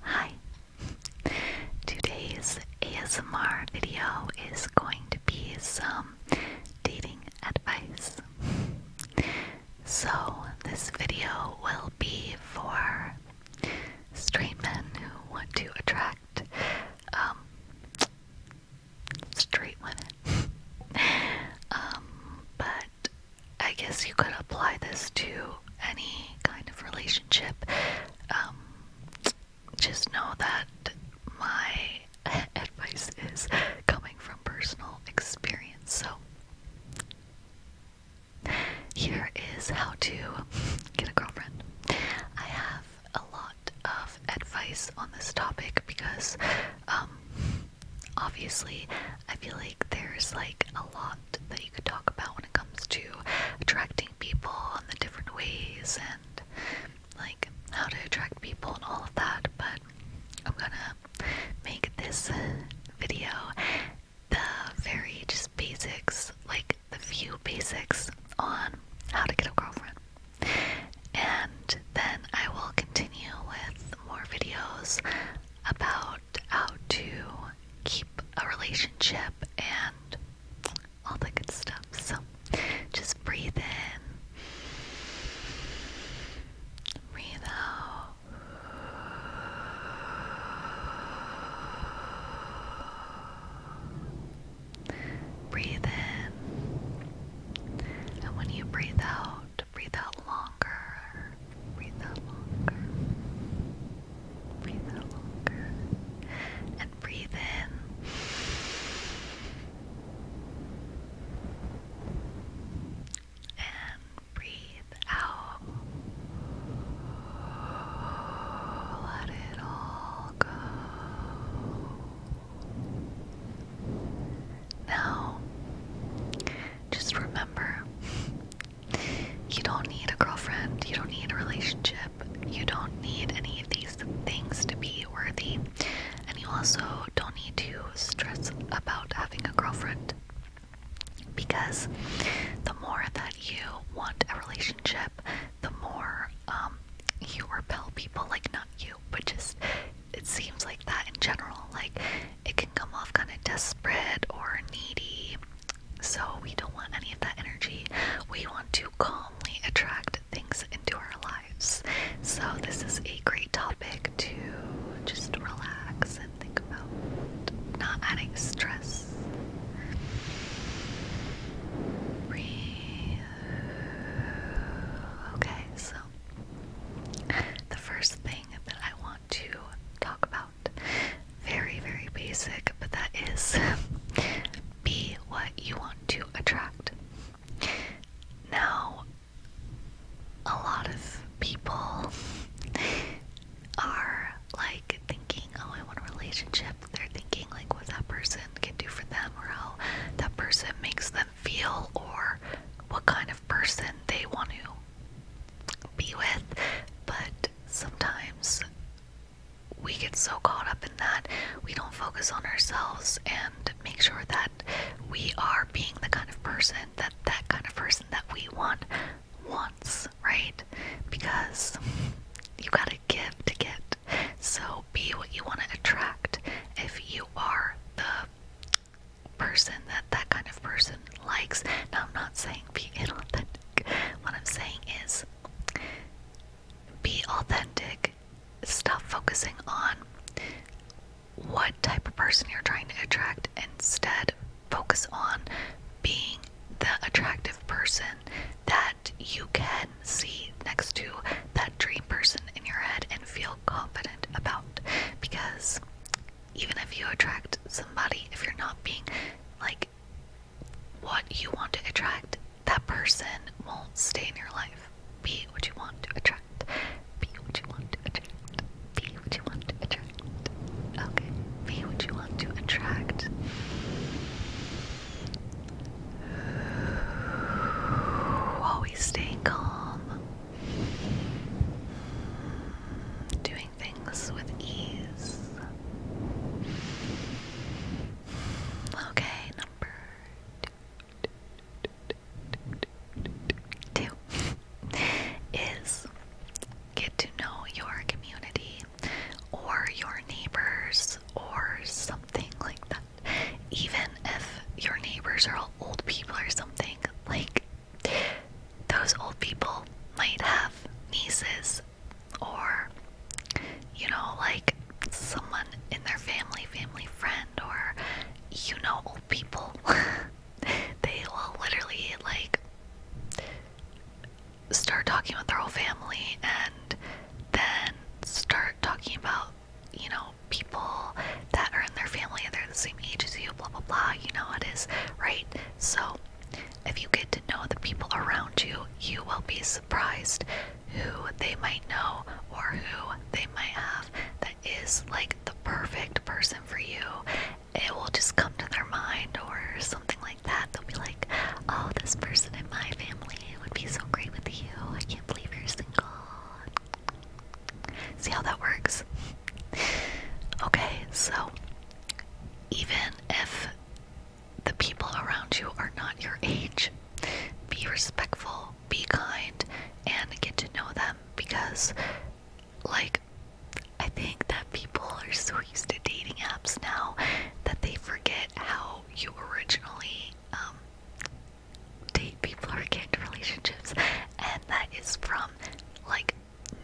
Hi! Today's ASMR video is going to be some dating advice. So, this video will be for straight men who want to attract um, straight women. Um, but I guess you could apply this to any kind of relationship. Um, just know that my advice is coming from personal experience. So, here is how to get a girlfriend. I have a lot of advice on this topic because, um, obviously, I feel like there's like a lot that you could talk about when it comes to attracting people and the different ways and like how to attract people and all of that. But I'm gonna make this video the very just basics, like the few basics on how to get a girlfriend. And then I will continue with more videos about how to keep a relationship and all the good stuff. So just breathe in, breathe out. Breathe in, and when you breathe out, breathe out longer. Breathe out longer. Breathe out longer. And breathe in. And breathe out. Let it all go. Now, just remember you don't need a girlfriend, you don't need a relationship, you don't need any of these things to be worthy, and you also don't need to stress about having a girlfriend because the more that you want a relationship, the more um, you repel people like not you, but just it seems like that in general. Like, it can come off kind of desperate or needy. So, we don't want any of that energy. We want to calmly attract things into our lives. So, this is a great topic to just relax and think about, not adding stress. Okay, so the first thing that I want to talk about. Very, very basic, but that is be what you want to attract. Now, a lot of people are like thinking, oh, I want a relationship. They're thinking, like, what that person can do for them, or how that person makes them feel, or what kind of person they want to be with, but sometimes we get so caught up in that we don't focus on ourselves and make sure that we are being the kind of person that that kind of person that we want wants, right? Because you gotta give to get. So be what you want to attract. If you are the person that that kind of person likes. Now, I'm not saying be inauthentic. What I'm saying is be authentic. Stop focusing on what type of person you're trying to attract. Instead, focus on being the attractive person that you can see next to that dream person in your head and feel confident about. Because even if you attract somebody, if you're not being like what you want to attract, that person won't stay in your life. Be what you want to attract. Be what you want to attract. Be what you want to attract. Okay. Be what you want to attract. Always staying calm doing things with ease. Okay, number two is get to know your community or your neighbors or something like that. Even if your neighbors are all old people or something, like those old people might have nieces or, you know, like someone in their family, family friend, or you know, old people. they will literally like start talking about their whole family and then start talking about, you know, people that are in their family, and they're the same age as you, blah blah blah. You know it is, right? So, if you get to know the people around you, you will be surprised who they might know or who they might have that is like the perfect person for you. It will just come to their mind or something like that. They'll be like, Oh, this person in my family would be so great with you. I can't believe you're single. See how that works? okay, so even if the people around you are not your age, be respectful, be kind, and get to know them because, like, I think that people are so used to dating apps now that they forget how you originally um, date people or get into relationships, and that is from like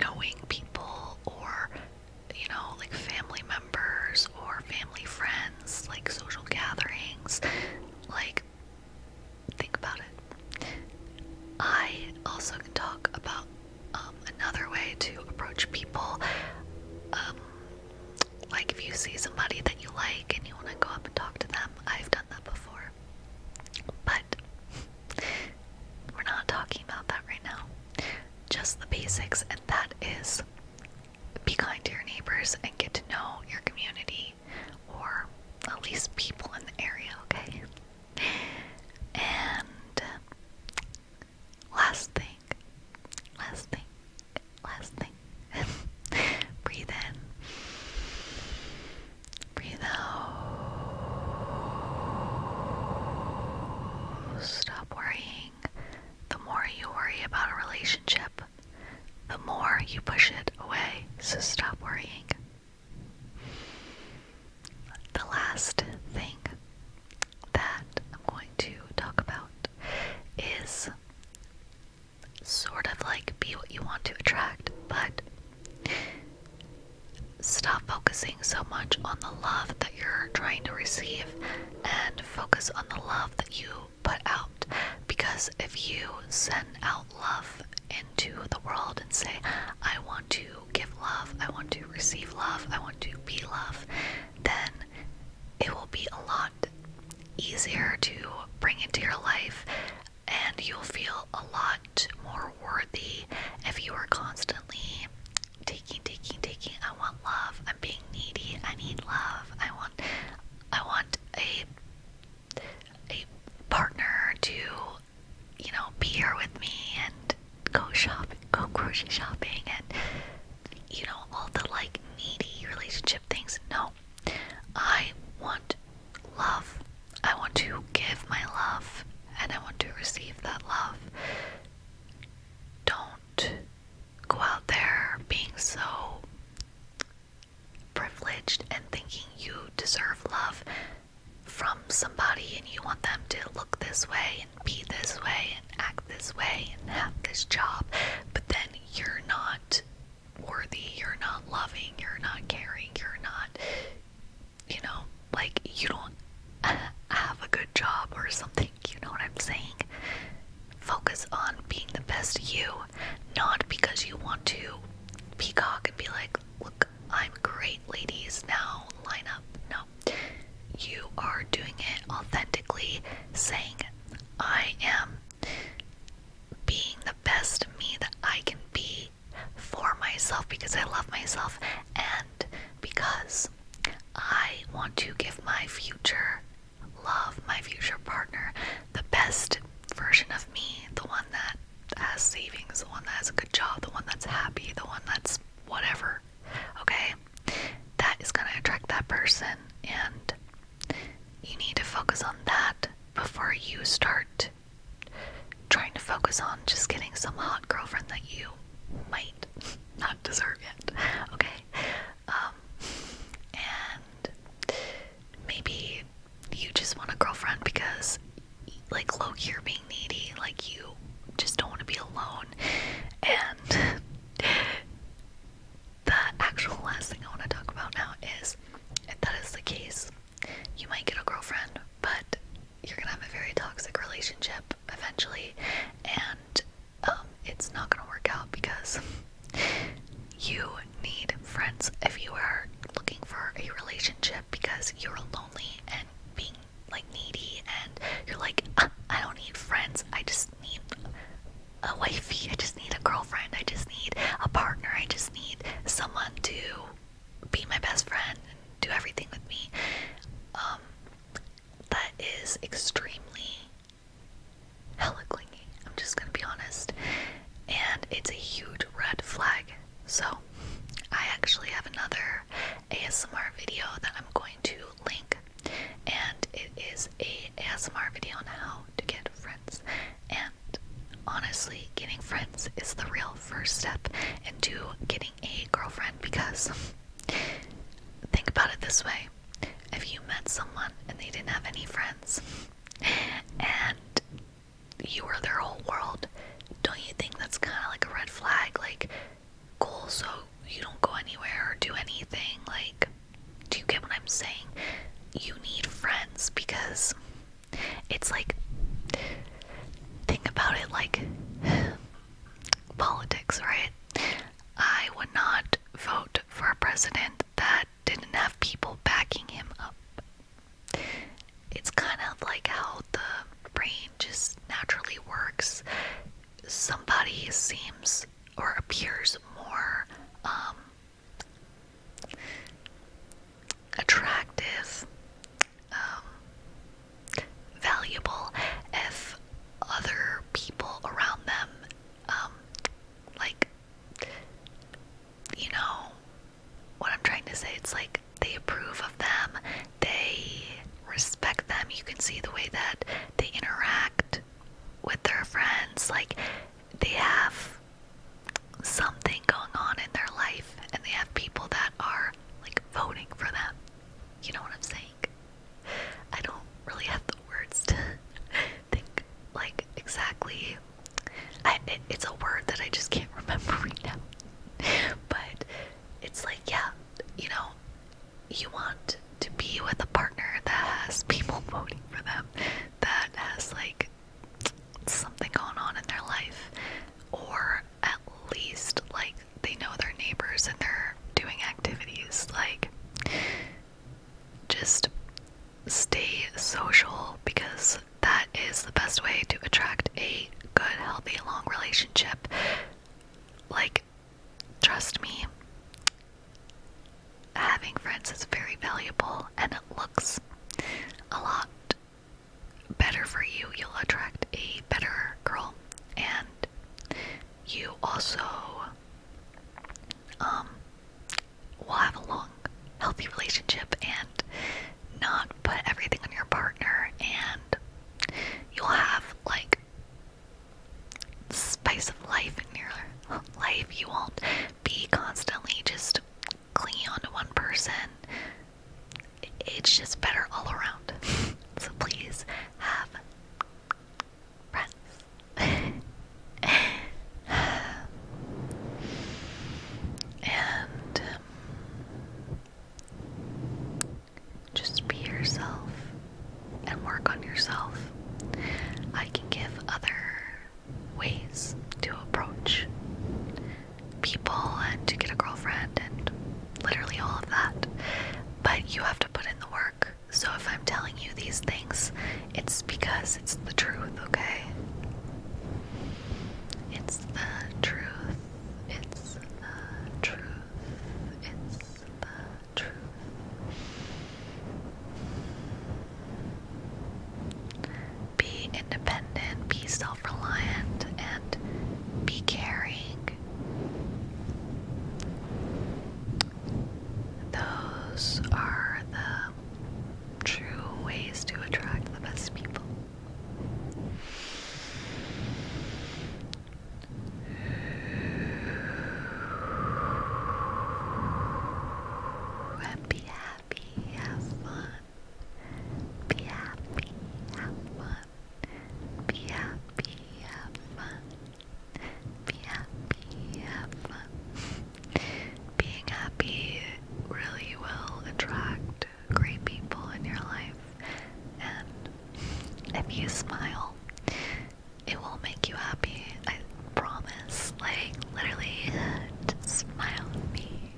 knowing people or you know, like family members or family friends, like social gatherings. Like, think about it. I also can talk about um, another way to approach people. Um, like, if you see somebody that you like and you want to go up and talk to them, I've done that before. But we're not talking about that right now. Just the basics, and that is be kind to your neighbors and get to know your community or at least people in the area, okay? And last thing, last thing, last thing. Breathe in. Breathe out. Stop worrying. The more you worry about a relationship, the more you push it away. So stop worrying. The last thing that I'm going to talk about is sort of like be what you want to attract, but stop focusing so much on the love that you're trying to receive and focus on the love that you put out. Because if you send out love into the world and say, I want to give love, I want to receive love, I want to be love, then it will be a lot easier to bring into your life and you'll feel a lot more worthy if you are constantly taking taking taking i want love i'm being needy i need love i want i want a a partner to you know be here with me and go shopping go grocery shopping and you know all the like needy relationship things no I want love. I want to give my love and I want to receive that love. Don't go out there being so privileged and thinking you deserve love from somebody and you want them to look this way and be this way and act this way and have this job, but then you're not worthy, you're not loving, you're not caring, you're not, you know, like you don't have a good job or something, you know what I'm saying? Focus on being the best you, not because you want to peacock and be like, look, I'm great, ladies, now line up. No, you are doing it authentically, saying, I am being the best me that I can be for myself because I love myself and because I want to give my future love, my future partner, the best version of me, the one that has savings, the one that has a good job, the one that's happy, the one that's whatever. Okay? That is going to attract that person and you need to focus on that before you start trying to focus on just getting some hot girlfriend that you might not deserve yet. Okay? Um, and maybe you just want a girlfriend because, like, look, you're being needy. Like, you just don't want to be alone. And the actual last thing I want to talk about now is if that is the case, you might get a girlfriend, but you're gonna have a very toxic relationship eventually, and um, it's not gonna work out because you need friends if you are looking for a relationship because you're lonely and being like needy, and you're like, uh, I don't need friends, I just need a wifey. I just need a girlfriend. I just need a partner. I just need someone to be my best friend and do everything with me. Um, that is extremely hella clingy. I'm just gonna be honest. And it's a huge red flag. So, I actually have another ASMR video that I'm going to link, and it is a ASMR video on how to get friends. And honestly, getting friends is the real first step into getting a girlfriend because think about it this way if you met someone and they didn't have any friends and you were their whole world, don't you think that's kind of like a red flag? Like, cool, so you don't go anywhere or do anything. Like, do you get what I'm saying? You need friends because it's like, think about it like politics, right? I would not vote for a president that didn't have people backing him up. It's kind of like how the brain just naturally works. Somebody seems or appears more um, attractive, um, valuable if other people around them, um, like, you know, what I'm trying to say, it's like they approve of them, they respect them. You can see the way that they interact with their friends. Like, they have something going on in their life, and they have people that are like voting for them. You know what I'm saying? I don't really have the words to think like exactly. I, it, it's a word that I just can't remember right now. But it's like, yeah, you know, you want to be with a partner that has people voting for them, that has like something going on in their life, or at least like they know their neighbors and they're doing activities. Like, just stay social because that is the best way to attract a good, healthy, long relationship. Like, trust me, having friends is very valuable and it looks a lot better for you. You'll attract a better girl, and you also um, will have a long, healthy relationship and not put everything on your partner, and you'll have like spice of life in your life. You won't be constantly just clinging on to one person. It's just better all around. So please have friends. and um, just be yourself and work on yourself, I can give other ways to approach people and to get a girlfriend and literally all of that. But you have to put in the work. So if I'm telling you these things, it's because it's the truth, okay? It's the truth. It's the truth. It's the be independent, be self reliant, and be caring. Those are the true ways to attract the best people be happy, have fun. Be happy, have fun. Be happy, have fun. Be happy, have fun. Being happy really will attract great people in your life. And if you smile, it will make you happy. I promise. Like, literally, smile at me.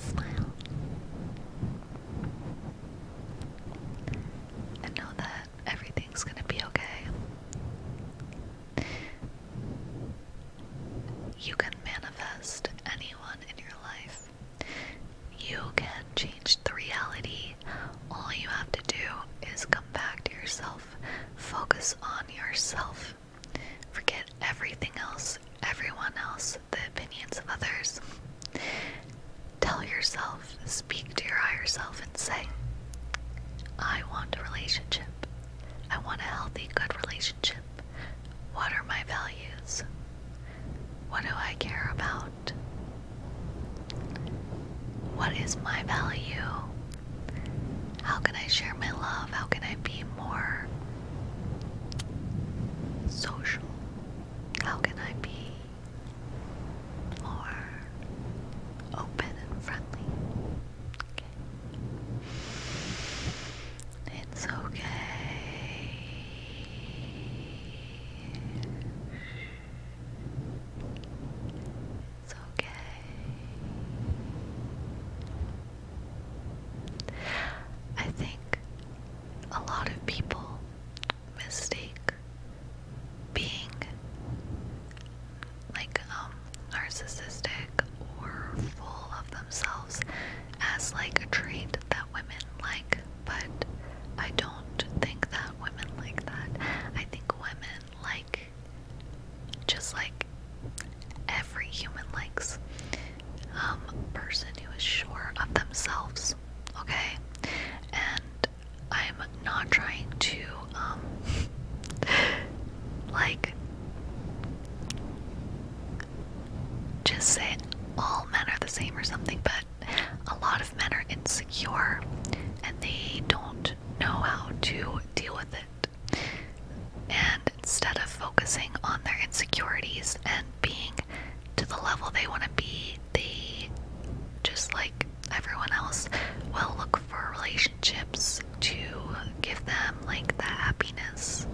smile. And know that everything's gonna be okay. You can manifest anyone in your life. You can change the reality. All you have to do is come back to yourself, focus on yourself, forget everything else, everyone else, the opinions of others. Tell yourself, speak to your higher self, and say, I want a relationship. I want a healthy, good relationship. What are my values? What do I care about? What is my value? How can I share my love? How can I be more social? How can I be more open and friendly? Okay. It's okay. It's okay. I think a lot of people mistake being like um narcissistic or full of themselves as like a trait that women like, but I don't think that women like that. I think women like just like every human likes um person who is sure of themselves, okay? And I'm not trying to um like just say all men are the same or something, but a lot of men are insecure and they don't know how to deal with it. And instead of focusing on their insecurities and being to the level they want to be, they just like everyone else will look for relationships to give them like the happiness.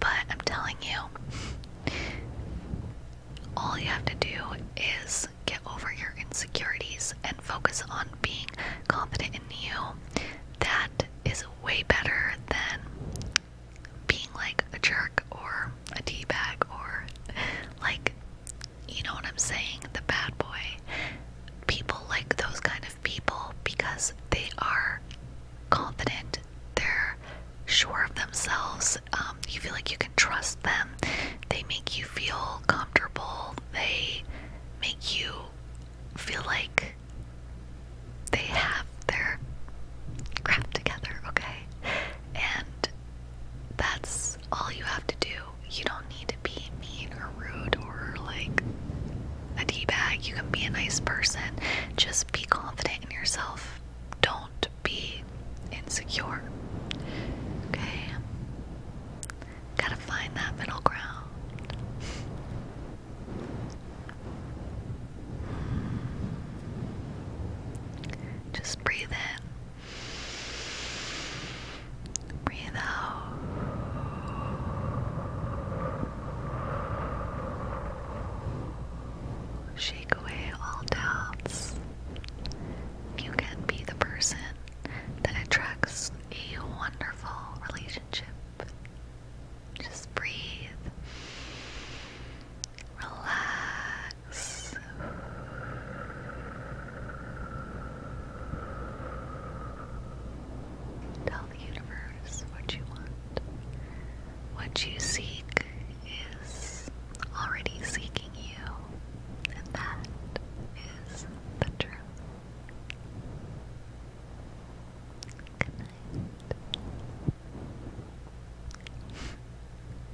But I'm telling you, all you have to do is get over your insecurities and focus on being confident in you. That is way better than being like a jerk or a teabag or like, you know what I'm saying, the bad boy people like those kind of people because they are confident, they're sure of themselves, um, you feel like you can trust them, they make you feel comfortable, they make you feel like they have their crap together, okay? And that's all you have to do you don't need to be mean or rude or like a d-bag. You can be a nice person. Just be confident in yourself. Don't be insecure. Okay? Gotta find that middle ground. Just breathe in. Breathe out. Shake away all doubts. You can be the person that attracts a wonderful relationship. Just breathe. Relax. Tell the universe what you want. What you seek is already seeking you, and that is the truth. Good night.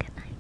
Good night.